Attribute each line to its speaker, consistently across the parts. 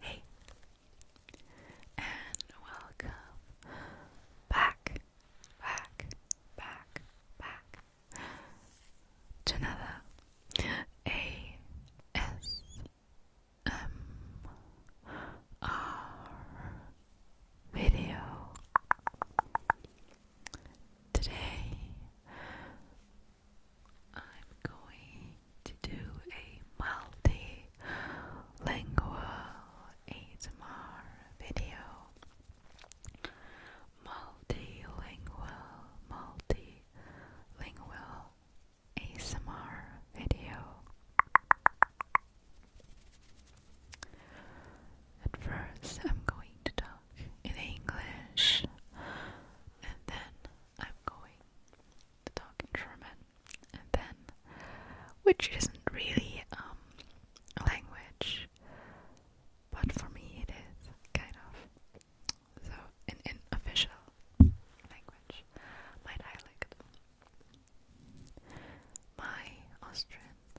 Speaker 1: Hey, and welcome back, back, back, back to another ASMR video. Today I'm going to do a multilingual ASMR video. Multilingual, multilingual ASMR video. At first, I'm going to talk in English, and then I'm going to talk in German, and then, which isn't really um, a language, but for me it is kind of. So, an unofficial language, my dialect. My Austrian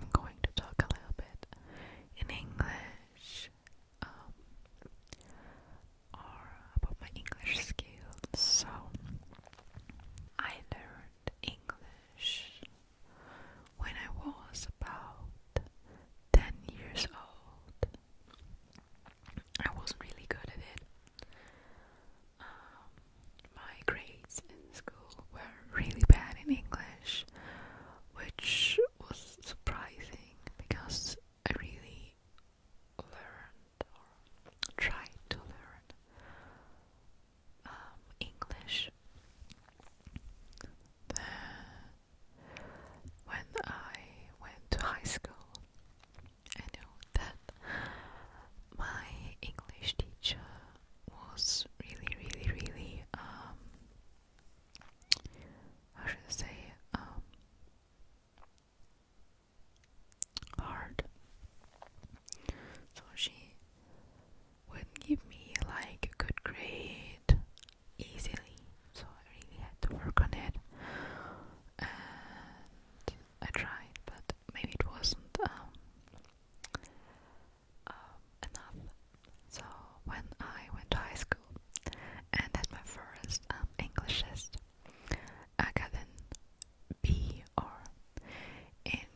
Speaker 1: I'm going to talk a little bit in English um, or about my English skills. So, I learned English when I was about 10 years old. I wasn't really good at it. Um, my grades school were really bad in English, which was surprising because I really learned or tried to learn um, English. When I went to high school, I knew that my English teacher was really, really, really um, I should say, um, hard. So she wouldn't give me like a good grade easily, so I really had to work on it. I tried, but maybe it wasn't um, um, enough. So when I went to high school and had my first um, English test, I got an B or in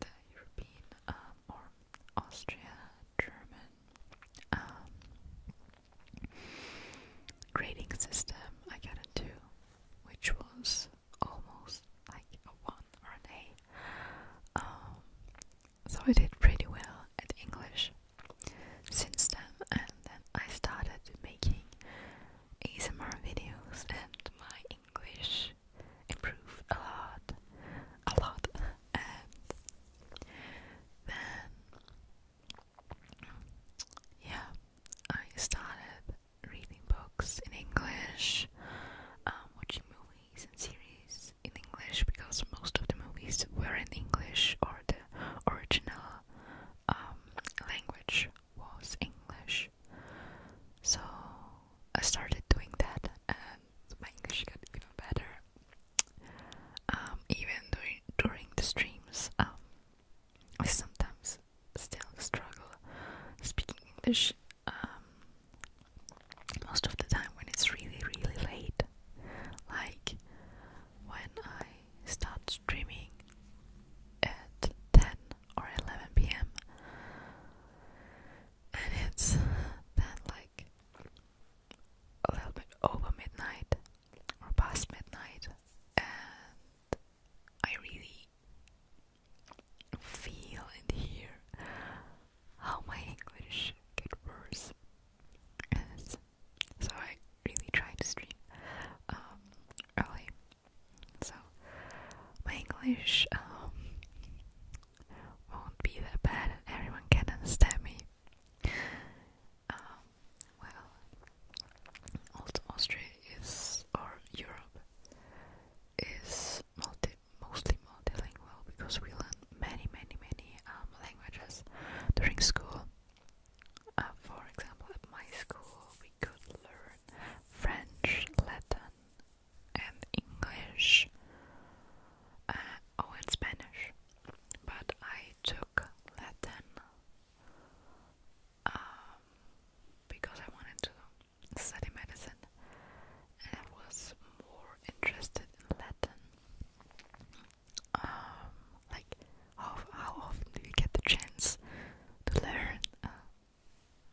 Speaker 1: the European um, or Austria German um, grading system, I got a two, which was almost like a one or an A. So I did pretty well at English since then, and then I started making ASMR videos, and my English improved a lot, a lot, and then yeah, I started reading books in English, um, watching movies movies and series in English because most of the movies were in English or the original um, language was English. So I started doing that and my English got even better. Um, even during, the streams, um, I sometimes still struggle speaking English um, most of the time when it's really, really late. Like when I start streaming at 10 or 11 pm, and it's then like a little bit over midnight or past midnight, and I really feel and hear how my English get worse. Yes. So I really try to stream um, early. So my English um, won't be that bad and everyone can understand me. Um, well, also Austria is, or Europe, is multi mostly multilingual because we learned many, many, many um, languages during school. Uh, for example, at my school, we could learn French, Latin, and English, uh, oh, and Spanish. But I took Latin um, because I wanted to study medicine and I was more interested in Latin. Um, like, how, often do you get the chance to learn uh,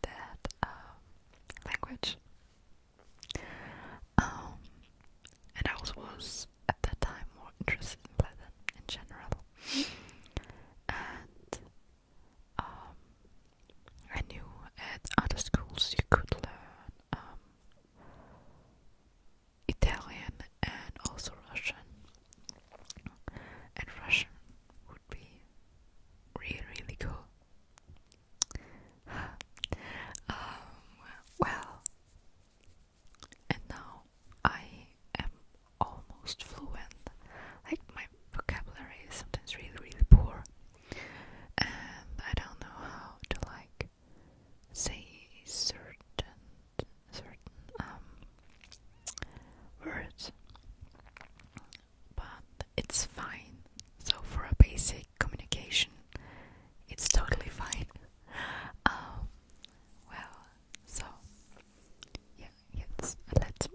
Speaker 1: that um, language? Um, and I also was at that time more interested in Latin in general. And um, I knew at other schools you could learn um, Italian and also Russian, and Russian would be really, really cool. Um, well, and now I am almost fluent. Like my vocabulary is sometimes really, really poor and I don't know how to like say certain certain um, words, but it's fine. So for a basic communication, it's totally fine. Um, well, so yeah, yes, let's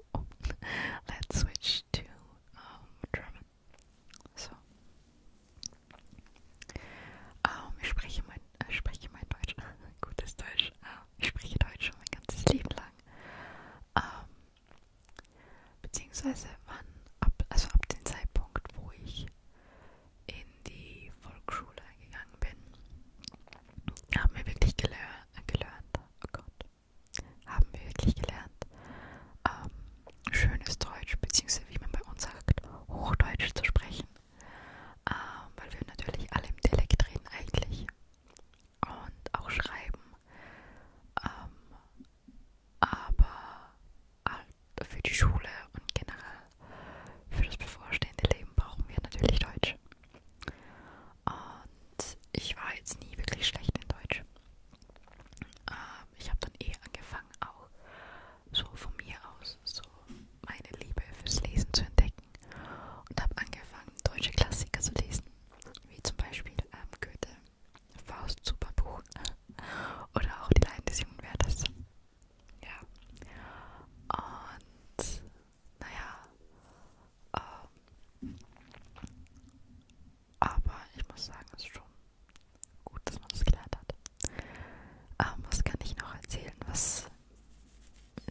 Speaker 1: let's switch to um, German. So. Um, ähm, ich spreche mein, äh, spreche mein Deutsch, gutes Deutsch. Uh, ich spreche Deutsch schon mein ganzes Leben lang. Um, ähm, beziehungsweise wann, ab, also ab dem Zeitpunkt, wo ich in die Volksschule gegangen bin, haben wir wirklich gelehrt, gelernt, oh Gott, haben wir wirklich gelernt, ähm, schönes Deutsch, beziehungsweise wie man bei uns sagt, Hochdeutsch zu sprechen, ähm, weil wir natürlich alle im Dialekt reden eigentlich und auch schreiben. Ähm, aber halt für die Schule und generell für das bevorstehende Leben brauchen wir natürlich Deutsch. Und ich war jetzt nie wirklich schlecht in Deutsch ähm, ich habe dann eh angefangen, auch so von mir aus so meine Liebe fürs Lesen zu entdecken und habe angefangen, deutsche Klassiker zu lesen, wie zum Beispiel ähm, Goethe, Faust, Superbuch oder auch Die Leiden des jungen Werthers. Ja. Und naja, ähm, aber ich muss sagen, es ist schon gut, dass man das gelernt hat. Ähm, was kann ich noch erzählen, was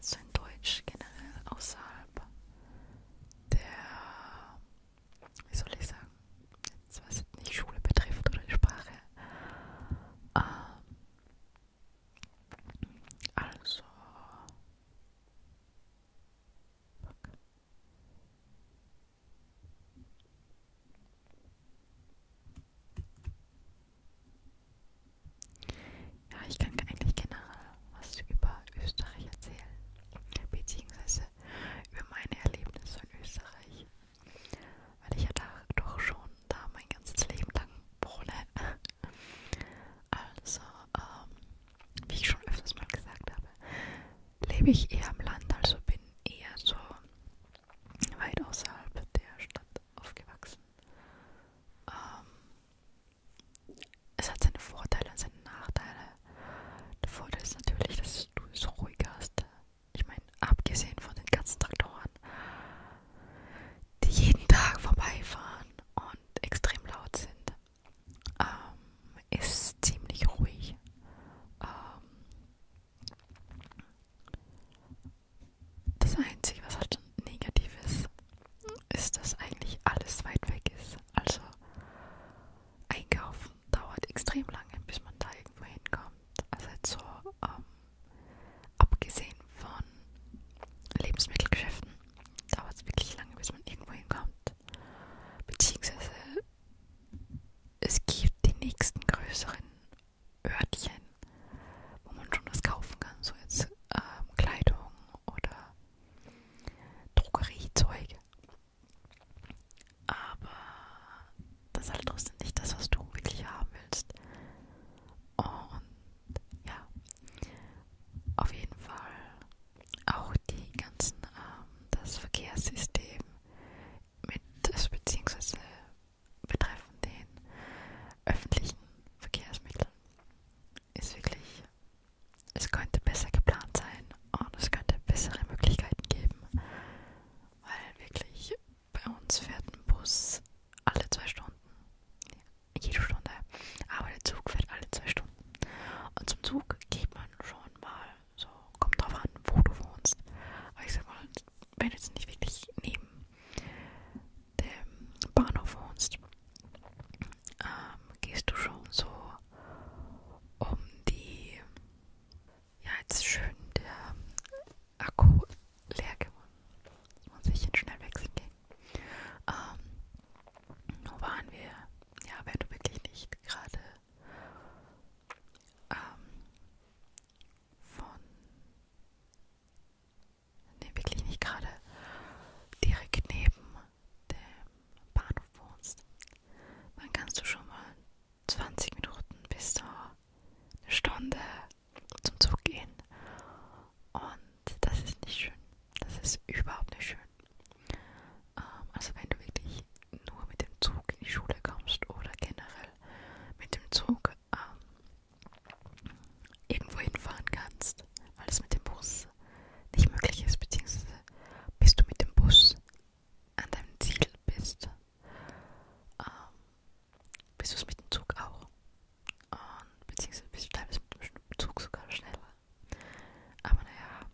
Speaker 1: so in Deutsch generell außerhalb der, wie soll ich sagen, jetzt was jetzt nicht Schule betrifft oder die Sprache. Ähm, also, fuck. Ja, ich kann eigentlich generell was über Österreich erzählen, beziehungsweise über meine Erlebnisse in Österreich, weil ich ja da doch schon da mein ganzes Leben lang wohne. Also, ähm, wie ich schon öfters mal gesagt habe, lebe ich eher am Land, also bin eher so weit außerhalb der Stadt aufgewachsen. Ähm, es hat seine Vorteile und seine Nachteile. Der Vorteil ist natürlich, dass du es ruhiger hast. Ich meine, abgesehen von den ganzen Traktoren, die jeden Tag vorbeifahren und extrem laut sind, ähm, ist ziemlich ruhig. Ähm, das Einzige, was halt negativ ist, ist, dass eigentlich alles weit weg ist. Also einkaufen dauert extrem lange, bis man da irgendwo hinkommt. Also jetzt so ähm, abgesehen von Lebensmittelgeschäften dauert es wirklich lange, bis man irgendwo hinkommt. Beziehungsweise es gibt die nächsten größeren Örtchen, wo man schon was kaufen kann, so jetzt ähm, Kleidung oder Drogeriezeug. Aber das ist halt trotzdem nicht das, was du wirklich haben willst. Und ja, auf jeden Fall auch die ganzen, ähm, das Verkehrssystem mit, also beziehungsweise betreffen den öffentlichen Verkehrsmitteln ist wirklich, es könnte besser geplant sein und es könnte bessere Möglichkeiten geben, weil wirklich bei uns fährt ein Bus alle zwei Stunden, jede Stunde, aber der Zug fährt alle zwei Stunden. Und zum Zug geht man schon mal, so kommt drauf an, wo du wohnst. Aber ich sag mal, wenn du jetzt nicht wirklich neben dem Bahnhof wohnst, ähm, gehst du schon so um die, ja jetzt schön der Akku leer geworden, muss ich jetzt schnell wechseln gehen. Ähm, wo waren wir? ja, wenn du wirklich nicht gerade ähm, von ne, wirklich nicht gerade direkt neben dem Bahnhof wohnst, dann kannst du schon mal 20 Minuten bis so eine Stunde zum Zug gehen. Und das ist nicht schön. Das ist überhaupt nicht schön. Ähm, also wenn du wirklich nur mit dem Zug in die Schule kommst oder generell mit dem Zug ähm, irgendwo hinfahren kannst, weil es mit dem Bus nicht möglich ist, beziehungsweise bis du mit dem Bus an deinem Ziel bist, ähm, bist du es mit dem Zug auch. Und beziehungsweise bist du teilweise mit dem Zug sogar schneller. Aber naja,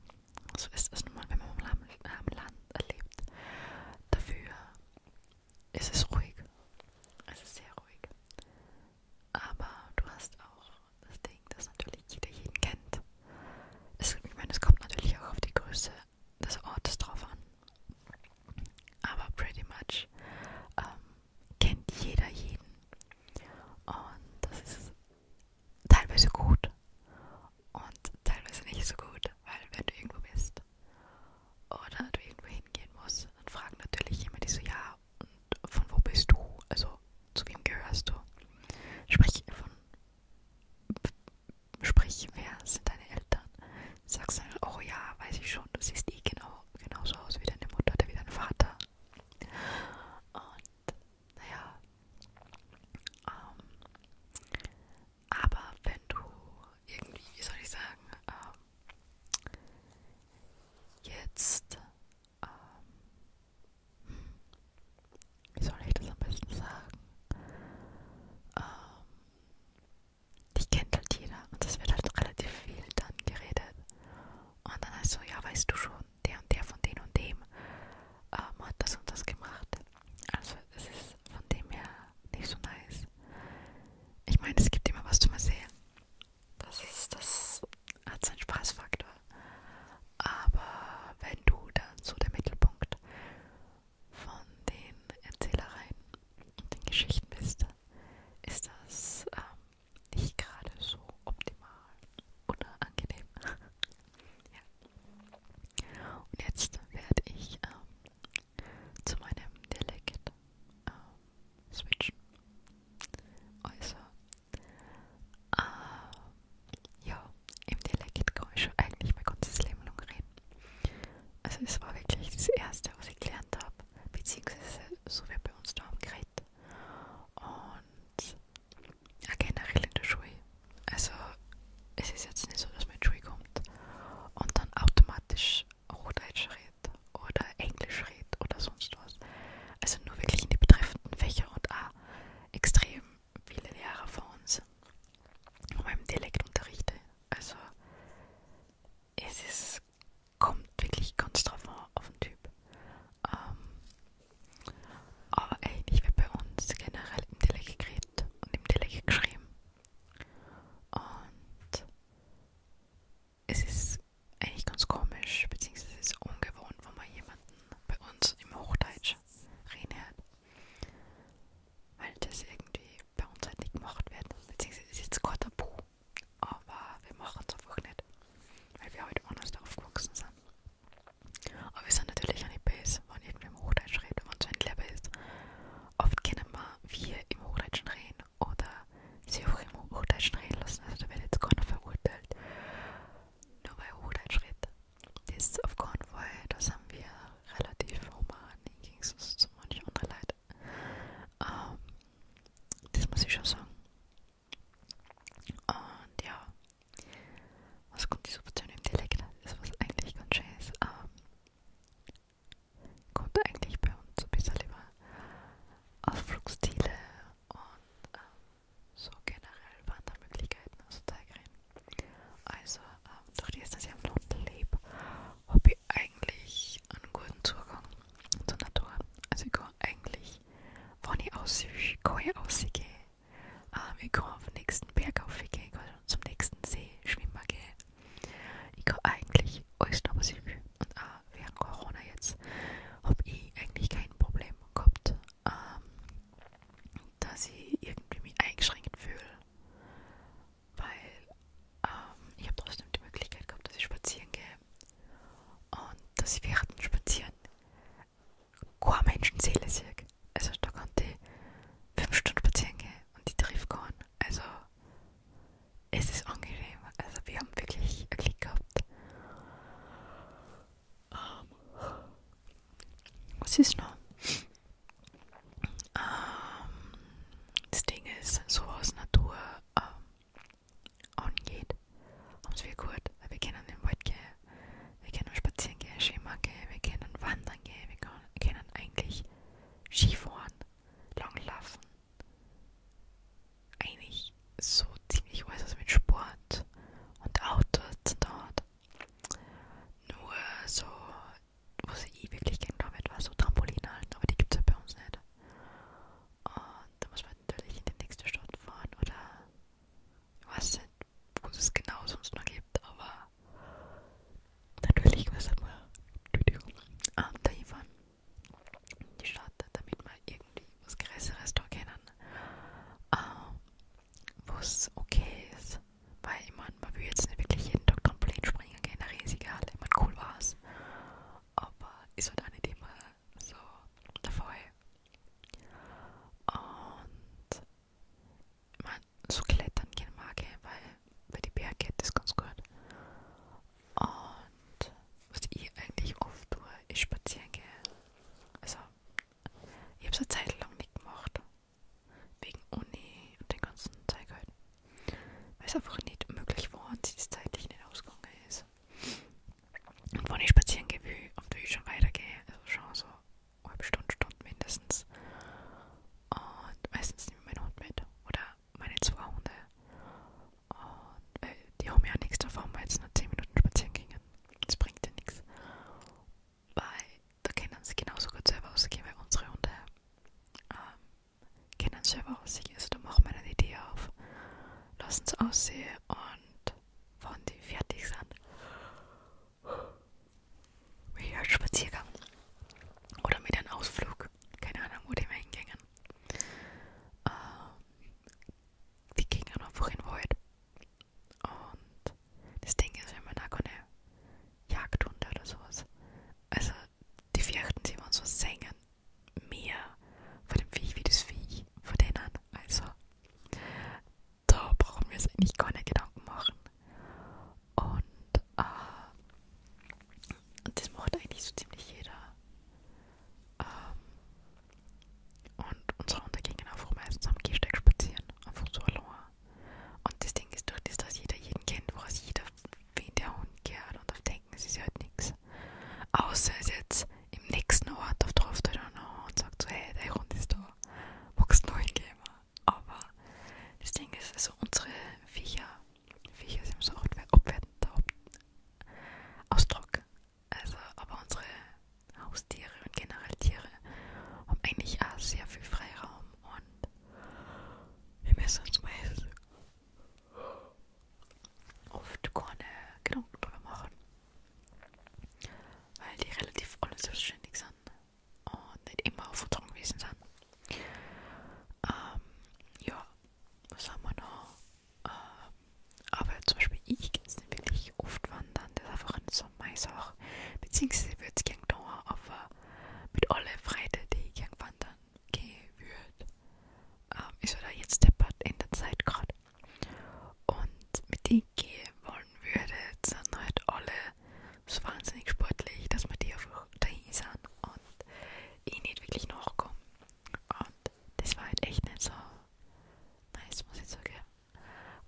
Speaker 1: so ist es nun mal, wenn man am Land, äh, Land lebt. Dafür ist es ruhig. Es ist sehr ruhig. Aber du hast auch das Ding, dass natürlich jeder jeden kennt. Es, ich meine, es kommt natürlich auch auf die Größe des Ortes drauf an. Aber pretty much ähm, kennt jeder jeden. Und das ist teilweise gut und teilweise nicht so gut, weil wenn du irgendwo bist oder du irgendwo hingehen musst, dann fragt natürlich jemand die so, ja, und von wo bist du? Also zu wem gehörst du? Sprich von sprich, wer sind deine Eltern? Sagst dann, oh ja, weiß ich schon, du siehst eh genau genauso aus wie deine Mutter oder wie dein Vater. Und naja, ähm, aber wenn du irgendwie, wie soll ich sagen, ähm, jetzt, ähm, wie soll ich das am besten sagen, ähm, dich kennt halt jeder und es wird halt relativ viel dann geredet. Und dann heißt so, ja, weißt du schon, der und der von dem und dem ähm, hat das und das gemacht. Also es ist von dem her nicht so nice. Ich meine, es gibt immer was zu erzählen. Das ist, das hat seinen Spaßfaktor. Aber wenn du dann so der Mittelpunkt von den Erzählereien und den Geschichten bist, ist das ähm, nicht gerade so optimal oder angenehm. ja. Und jetzt werde ich ähm, zu meinem Dialekt ähm, switchen. Also, äh, ja, im Dialekt kann ich schon eigentlich mein ganzes Leben lang reden. Also, es war wirklich das Erste, was ich gelernt habe, beziehungsweise so wie bei uns da am Gerät. Und ja, generell in der Schule. Also es ist jetzt nicht so, dass man in die Schule kommt und dann automatisch Hochdeutsch redet oder Englisch redet oder sonst was. Also nur wirklich in die betreffenden Fächer und auch extrem viele Lehrer von uns von meinem Dialekt unterrichten. Also es ist, kommt wirklich ganz drauf an, auf den Typ. Ähm, aber ey, ich werde bei uns generell im Tele gekriegt und im Tele geschrieben. Und es ist eigentlich ganz komisch, beziehungsweise es ist ungewohnt, wenn man jemanden bei uns im Hochdeutsch reden hört. Weil das irgendwie bei uns halt nicht gemacht wird. Beziehungsweise es ist jetzt kein Tabu, aber wir machen es einfach nicht. Zeit. Weil wir heute anders darauf gewachsen sind. Aber wir sind natürlich auch nicht besser, wenn irgendwer im Hochdeutsch redet, wenn es ein Lehrer ist. Oft können wir im Hochdeutschen reden oder sie auch im Hochdeutschen reden lassen. Also da wird jetzt keiner verurteilt. Nur weil Hochdeutsch redet. Das ist auf keinen Fall, da sind wir relativ human im Gegensatz zu manchen anderen Leuten. Ähm, das muss ich schon sagen. Und ja, was kommt die Substitution im Dialekt? Das ist was eigentlich ganz schönes. Ähm, kommt eigentlich bei uns ein bisschen über Ausflugstile und ähm, so generell Wandermöglichkeiten aus Teigrin. Also, ähm, durch die dass ich am Land lebe, habe ich eigentlich einen guten Zugang zur Natur. Also ich kann eigentlich, wenn ich aussehe, kann ich aussehe. Ähm, ich kann auf den nächsten Berg aufgehen, ich kann zum nächsten See schwimmen gehen. Ich kann eigentlich alles noch was ich will. Und auch während Corona jetzt habe ich eigentlich kein Problem gehabt, ähm, dass ich irgendwie mich eingeschränkt fühle. Weil ähm, ich habe trotzdem die Möglichkeit gehabt, dass ich spazieren gehe. Und dass ich während dem Spazieren kein Menschenseele sehe. Also da kann die fünf Stunden spazieren gehen und die trifft keinen. Also es ist angenehm. Also wir haben wirklich einen Klick gehabt. Um, ähm, was ist noch? Um, ähm, das Ding ist, so aus Natur um, ähm, angeht, haben es wir gut, weil wir können im Wald gehen, wir können spazieren gehen, Schwimmen gehen, wir können wandern gehen, wir können eigentlich Skifahren, Langlaufen, eigentlich so ziemlich alles, was mit Sport und Autos zu tun hat. Nur so, was ich wirklich gerne damit war, so Trampolinen, aber die gibt es ja bei uns nicht. Und da muss man natürlich in die nächste Stadt fahren oder ich weiß nicht, wo es genau sonst noch gibt, aber natürlich muss man ähm, dahin fahren die Stadt, damit man irgendwie was Größeres da kennen, ähm, wo es okay ist. Weil ich meine, man will jetzt nicht wirklich jeden Tag Trampolin springen gehen, eine riesige Halle, ich meine, cool war's. Aber ist halt auch nicht immer so davon. Und man, so klettern gehen mag ich, eh, weil bei die Berge geht das ganz gut. Und was ich eigentlich oft tue, ist spazieren gehen. Also, ich habe es eine Zeit lang nicht gemacht. Wegen Uni und den ganzen Zeug halt. Weil es einfach nicht möglich war und sich das zeitlich nicht ausgegangen ist. Und wenn ich spazieren gehe, will, und will ich schon weitergehe, also schon so eine halbe Stunde, Stunde mindestens. Und meistens nehme ich meinen Hund mit oder meine zwei Hunde. Und äh, die haben ja nichts davon, weil jetzt nur 10 Minuten spazieren gingen. Das bringt ja nichts. Weil da können sie genauso gut selber ausgehen, weil unsere Hunde ähm, können selber aussehen. Also da machen wir eine Idee auf, lassen sie aussehen und und wenn die fertig sind, wie ein Spaziergang oder mit einem Ausflug, keine Ahnung, wo die mal hingingen. Äh, die gingen einfach in den Wald. Und das Ding ist, wenn man da keine Jagdhunde oder sowas. Also die fürchten sich, wenn so singen mehr von dem Vieh wie das Vieh von denen. Also, da brauchen wir uns eigentlich gar nicht Gedanken machen. Und, äh, und das macht eigentlich so ziemlich jeder. Ähm, und unsere Hunde gingen einfach meistens am Gehsteig spazieren, einfach so allein. Und das Ding ist durch das, dass jeder jeden kennt, woraus jeder, wen der Hund gehört. Und auf Denken ist es halt nichts ist. Außer ist jetzt im nächsten Ort auf drauf und sagt so, hey, der Hund ist da, magst du noch hingehen? Aber das Ding ist, also unsere Viecher, Viecher sind so abwertender Ausdruck. Also, aber unsere Haustiere und generell Tiere haben eigentlich auch sehr viel Freiraum und wir müssen uns meistens oft keine Gedanken drüber machen, weil die relativ alle selbstständig sind und nicht immer auf Vertrauen gewesen sind. Ähm, ja, was haben wir noch? Ähm, aber zum Beispiel ich gehe jetzt nicht wirklich oft wandern, das ist einfach eine so meine Sache. Beziehungsweise würde es gerne da, aber mit allen Freunden, die ich gerne wandern gehe, würde, ähm, ist oder jetzt deppert in der Zeit gerade. Und mit die gehen wollen würde, sind halt alle so wahnsinnig sportlich, dass man die einfach dahin sind und ich nicht wirklich nachkomme. Und das war halt echt nicht so nice, muss ich sagen.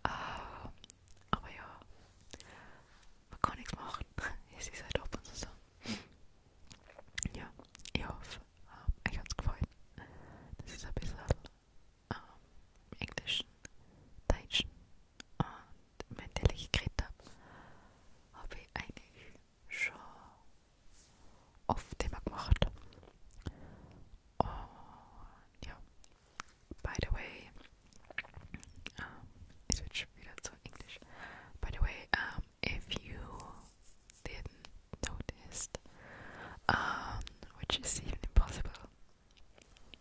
Speaker 1: Uh, aber ja, man kann nichts machen. Es ist halt ab und zu so ja, ich hoffe, ähm, euch hat es gefallen. Das ist ein bisschen ähm, englischen, deutschen und mit der ich geredet habe, habe ich eigentlich schon oft Thema gemacht. Und ja, by the way, ähm, ich switch wieder zu Englisch. By the way, ähm, if you didn't notice, um, which is even impossible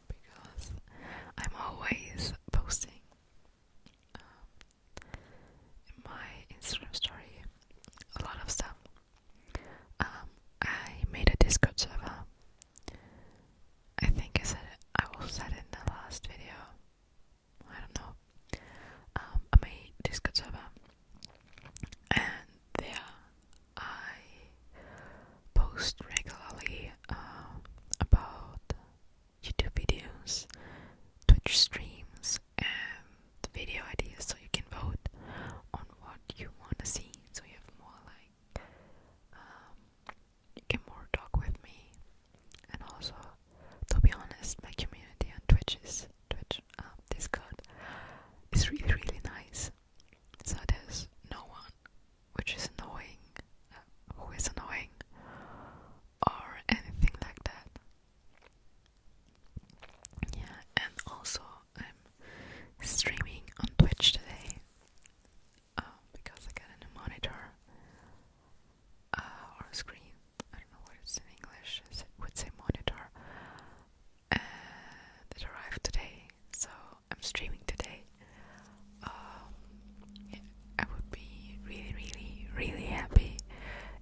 Speaker 1: because I'm always posting um, my Instagram story a lot of stuff. Um, I made a Discord server. I think I said I will said it in the last video. I don't know um, on my Discord server, and there I post regularly uh, about YouTube videos, Twitch streams, and video ideas. So you can vote on what you want to see. So you have more like um, you can more talk with me, and also to be honest, my community on Twitch is Twitch um, Discord is really really nice. So there's no one which is annoying, uh, who is annoying, or anything like that. Yeah, and also I'm streaming on Twitch today um, because I got a new monitor uh, or screen I don't know what it's in English, it would say monitor, uh, that arrived today. So I'm streaming today. Um, I would be really, really, really happy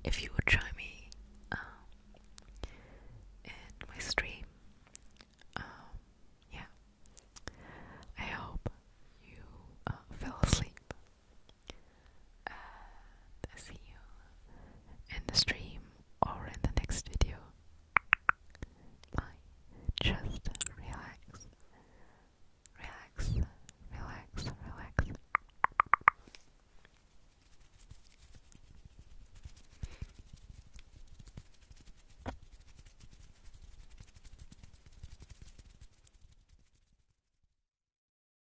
Speaker 1: if you would join me um, in my stream. Um, yeah. I hope you uh, fell asleep and see you in the stream or in the next video. Bye. Just relax. Relax, relax, relax.